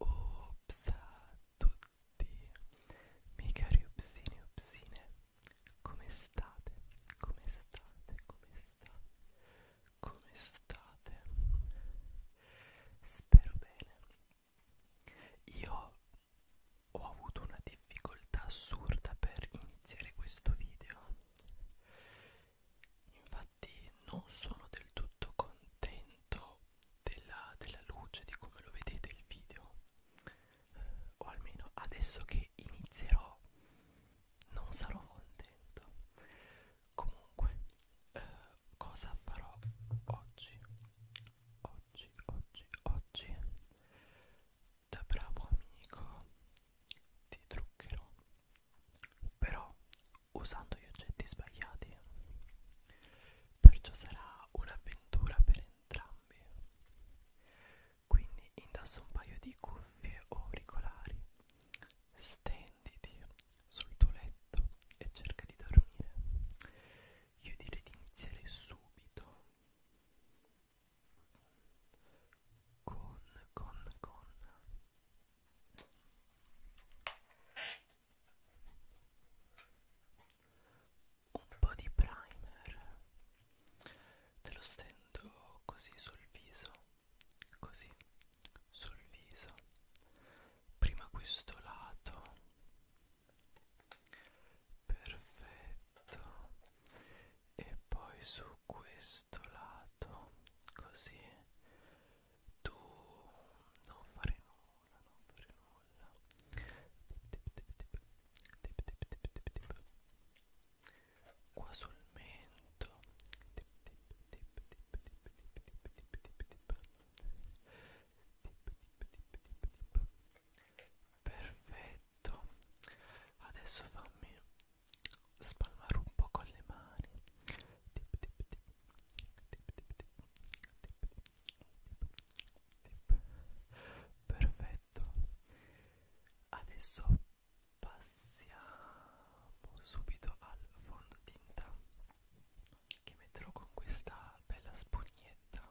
Ops a tutti, miei cari upsini e upsine, come state? Come state? Come state? Come state? Spero bene. Io ho avuto una difficoltà assurda per iniziare questo video infatti non sono del tutto contento della, della luce di come lo vedete il video eh, o almeno adesso che inizierò non sarò contento comunque eh, cosa farò oggi oggi, oggi, oggi da bravo amico ti truccherò però usando gli oggetti sbagliati perciò sarà un'avventura per entrambi quindi indosso un paio di cuffie o auricolari stenditi sul tuo letto e cerca di dormire io direi di iniziare subito con con con un po' di primer te lo stendo così sul viso così sul viso prima questo lato perfetto e poi su questo lato così tu non fare nulla non fare nulla qua sul mento perfetto adesso fammi spalmare un po' con le mani tip, tip, tip. Tip, tip, tip. Tip, tip. perfetto adesso passiamo subito al fondotinta che metterò con questa bella spugnetta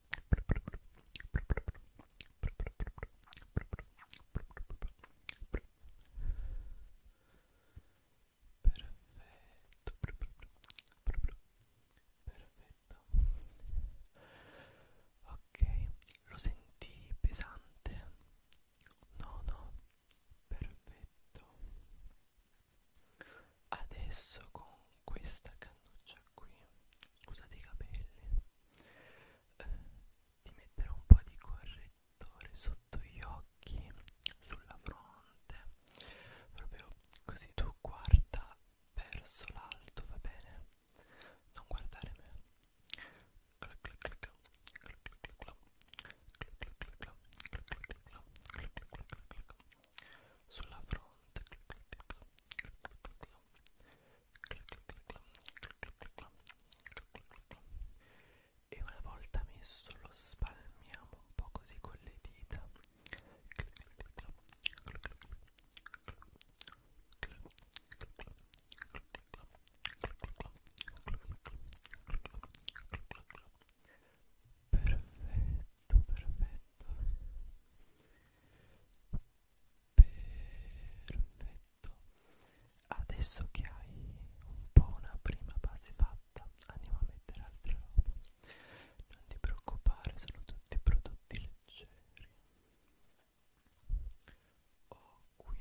perfetto ok lo senti pesante no no perfetto adesso con questa cannuccia qui scusate i capelli eh, di mettere un po' di correttore sotto gli occhi, sulla fronte, proprio così tu guarda verso l'alto, va bene? Non guardare me. Sulla fronte e una volta messo lo spalmiamo un po' così con le dita perfetto perfetto Perfetto. Adesso che hai un po' una prima base fatta, andiamo a mettere altre roba. Non ti preoccupare, sono tutti prodotti leggeri. Ho qui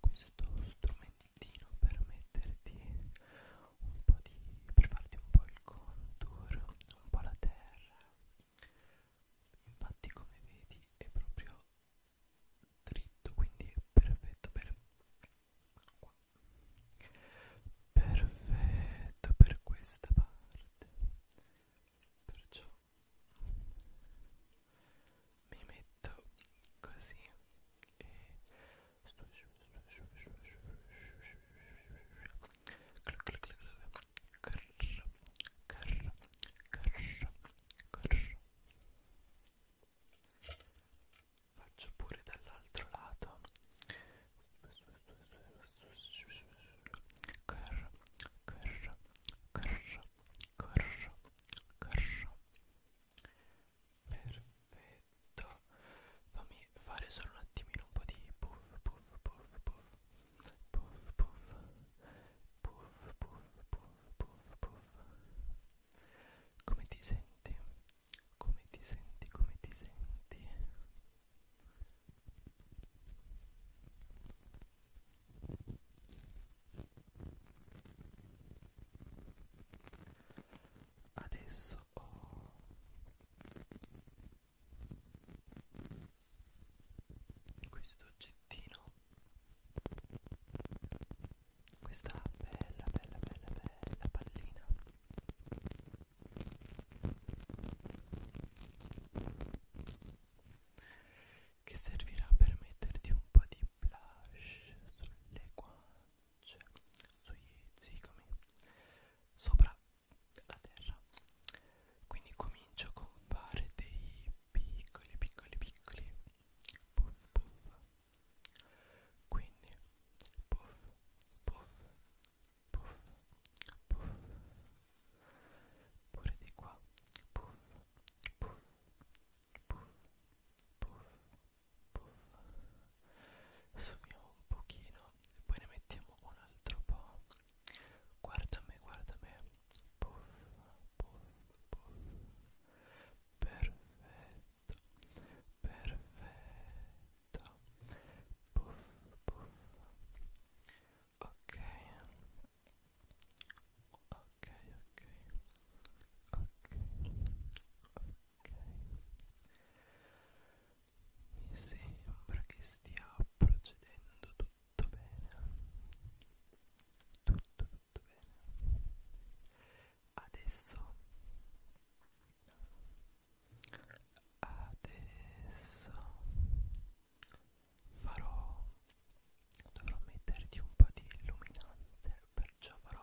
questo strumento tintino per metterti un po' di per farti un po' il contour, un po' la terra. Infatti come vedi è proprio dritto, quindi è perfetto per qua. Perfetto per questa parte. Perciò mi metto così e Faccio pure dall'altro lato. Corro, corro, corro, corro, corro. Perfetto. Fammi fare solo un attimino un po' di puff puff puff puff. Puff puff. Puff puff puff puff puff. Come ti senti? Come ti senti? Come ti senti? adesso ho questo oggettino questa bella bella bella bella pallina che servirà per metterti un po' di blush sulle guance cioè sugli zigomi sopra la terra quindi comincio con fare dei piccoli piccoli piccoli puff puff quindi puff puff puff puff pure di qua puff puff puff puff puff Sfumiamo un pochino e poi ne mettiamo un altro po'. Guarda me, guarda me. Puff, puff, puff. Perfetto, perfetto. Puff, puff. Ok. Ok, ok. Ok, ok. Mi sembra che stia procedendo tutto bene. Tutto, tutto bene. Adesso adesso farò dovrò metterti un po' di illuminante perciò farò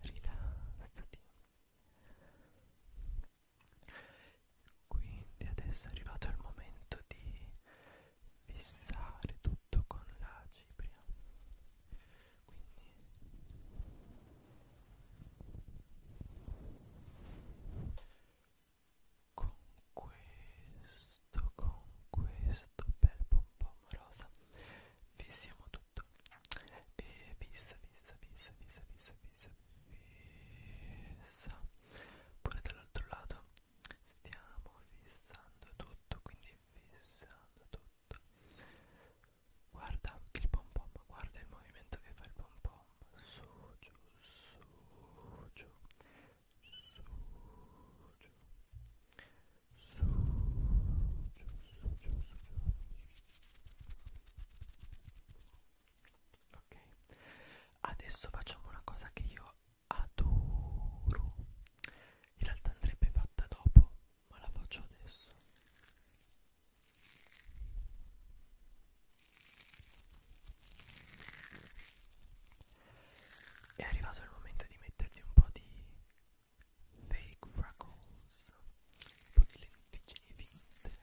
rilassati quindi adesso è arrivato il momento di fissare tutto con la cipria quindi con questo con questo bel pompom rosa fissiamo tutto e fissa fissa fissa fissa fissa fissa fissa pure dall'altro lato stiamo fissando tutto quindi fissando tutto guarda il pom pom guarda il movimento che fa il pom pom su giù su giù ok adesso facciamo una cosa che io adoro in realtà andrebbe fatta dopo ma la faccio adesso è arrivato il momento di metterti un po' di fake freckles, un po' di lenticchie finte.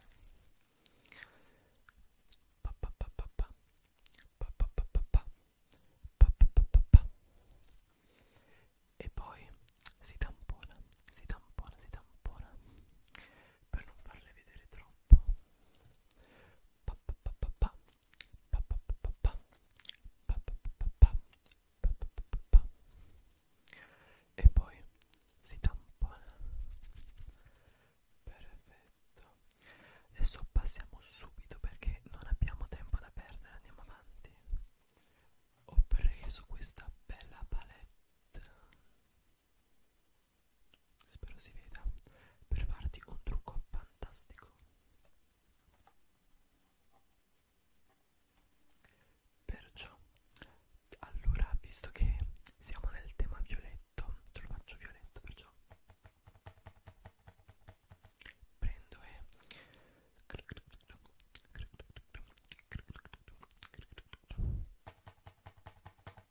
Pa pa pa pa pa. Pa pa pa pa pa. Pa pa pa pa pa. E poi si tampona, si tampona, si tampona per non farle vedere troppo. Pa pa pa pa pa e poi si tampona perfetto adesso passiamo subito perché non abbiamo tempo da perdere andiamo avanti ho preso questa bella palette spero si veda per farti un trucco fantastico perciò allora visto che siamo nel tema violetto te lo faccio violetto perciò prendo e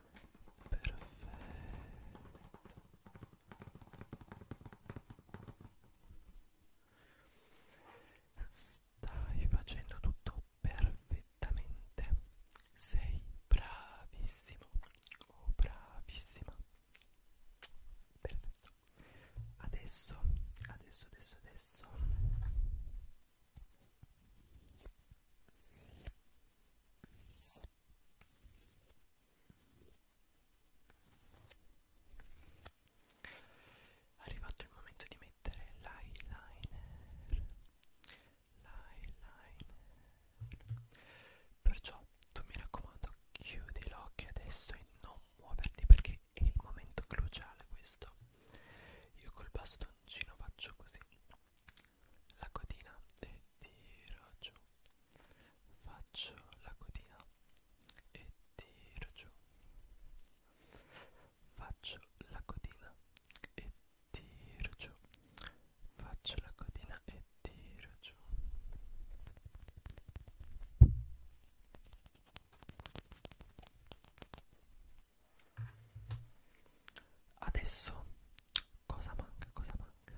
perfetto stai facendo tutto perfettamente sei bravissimo o oh, bravissima perfetto adesso adesso adesso adesso è arrivato il momento di mettere l'eyeliner. L'eyeliner. Perciò tu mi raccomando chiudi l'occhio adesso e non muoverti perché è il momento cruciale questo. Io col bastoncino faccio così la cotina e tiro giù faccio la cotina e tiro giù faccio la cotina e tiro giù faccio la cotina e tiro giù adesso cosa manca cosa manca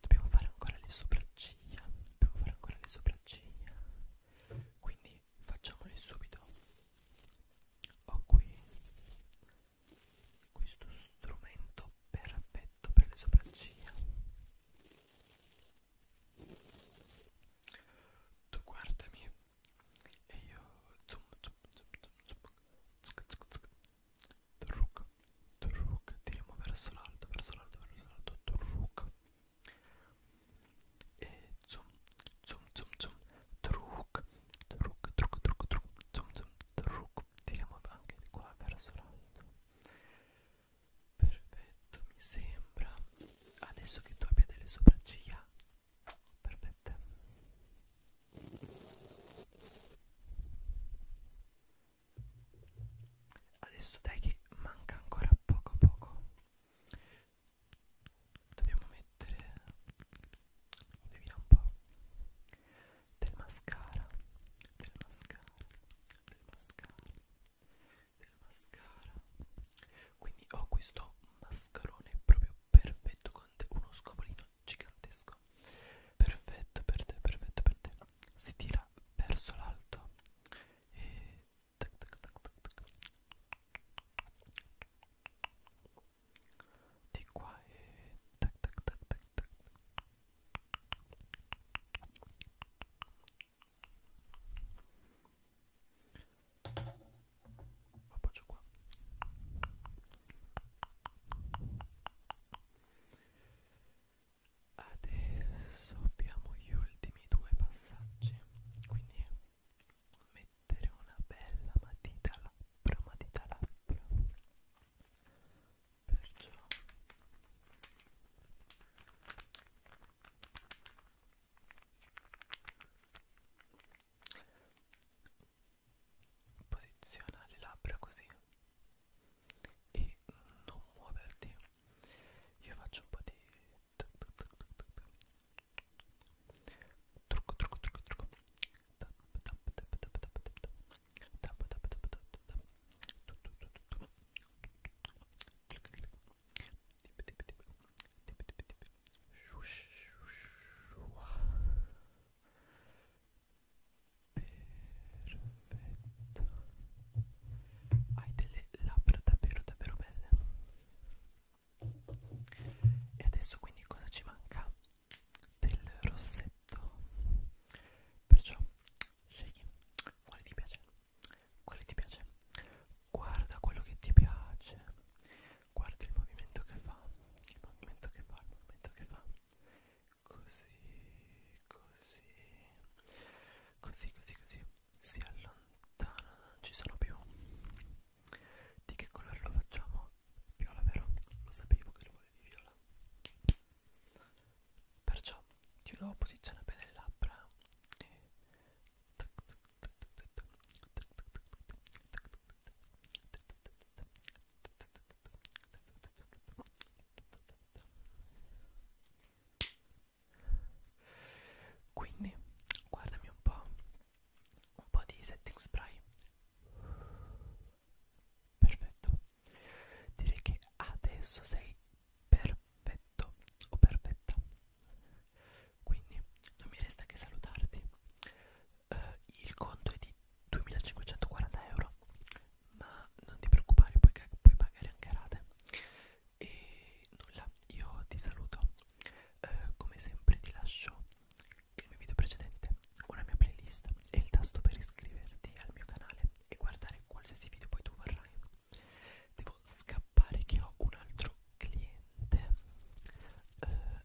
dobbiamo fare ancora le sopracciglia dobbiamo fare ancora le sopracciglia quindi facciamole subito ho qui questo strumento perfetto per le sopracciglia tu guardami e io zoom zoom zoom zoom zoom Turruk, turruk, tiriamo verso l'alto, verso l'alto, verso l'alto, turruk E zoom, zoom, zoom, zoom, turruk, turruk, turruk, turruk, turruk, zoom, zoom, turruk Tiriamo anche di qua verso l'alto Perfetto, mi sembra Adesso che tu abbia delle sopracciglia Perfette Adesso dai che manca ancora poco poco Dobbiamo mettere Vediamo un po' Del mascara Del mascara Del mascara Del mascara Quindi ho questo mascarone proprio perfetto Con uno scopolino gigantesco perfetto per te perfetto per te si tira verso l'alto e tac tac tac tac tac di qua e tac tac tac tac tac appoggio qua adesso abbiamo gli ultimi due passaggi quindi mettere una bella matita labbra matita labbra perciò posiziona le labbra così e non muoverti io faccio un po' di trucco trucco trucco trucco Perfetto. Hai delle labbra davvero davvero belle. E adesso quindi cosa ci manca? Del rossetto. Perciò scegli quale ti piace. Quale ti piace? Guarda quello che ti piace guarda il movimento che fa il movimento che fa il movimento che fa così così così così così si allontana non ci sono più di che colore lo facciamo viola vero lo sapevo che lo volevi viola perciò ti do posizione bene le labbra e... Quindi guardami un po', un po' di setting spray. Perfetto. Direi che adesso sei perfetto o perfetta. Quindi non mi resta che salutarti eh, il conto è di 2540 euro ma non ti preoccupare poiché puoi pagare anche rate e nulla io ti saluto eh, come sempre ti lascio il mio video precedente una mia playlist e il tasto per iscriverti al mio canale e guardare qualsiasi video poi tu vorrai devo scappare che ho un altro cliente eh,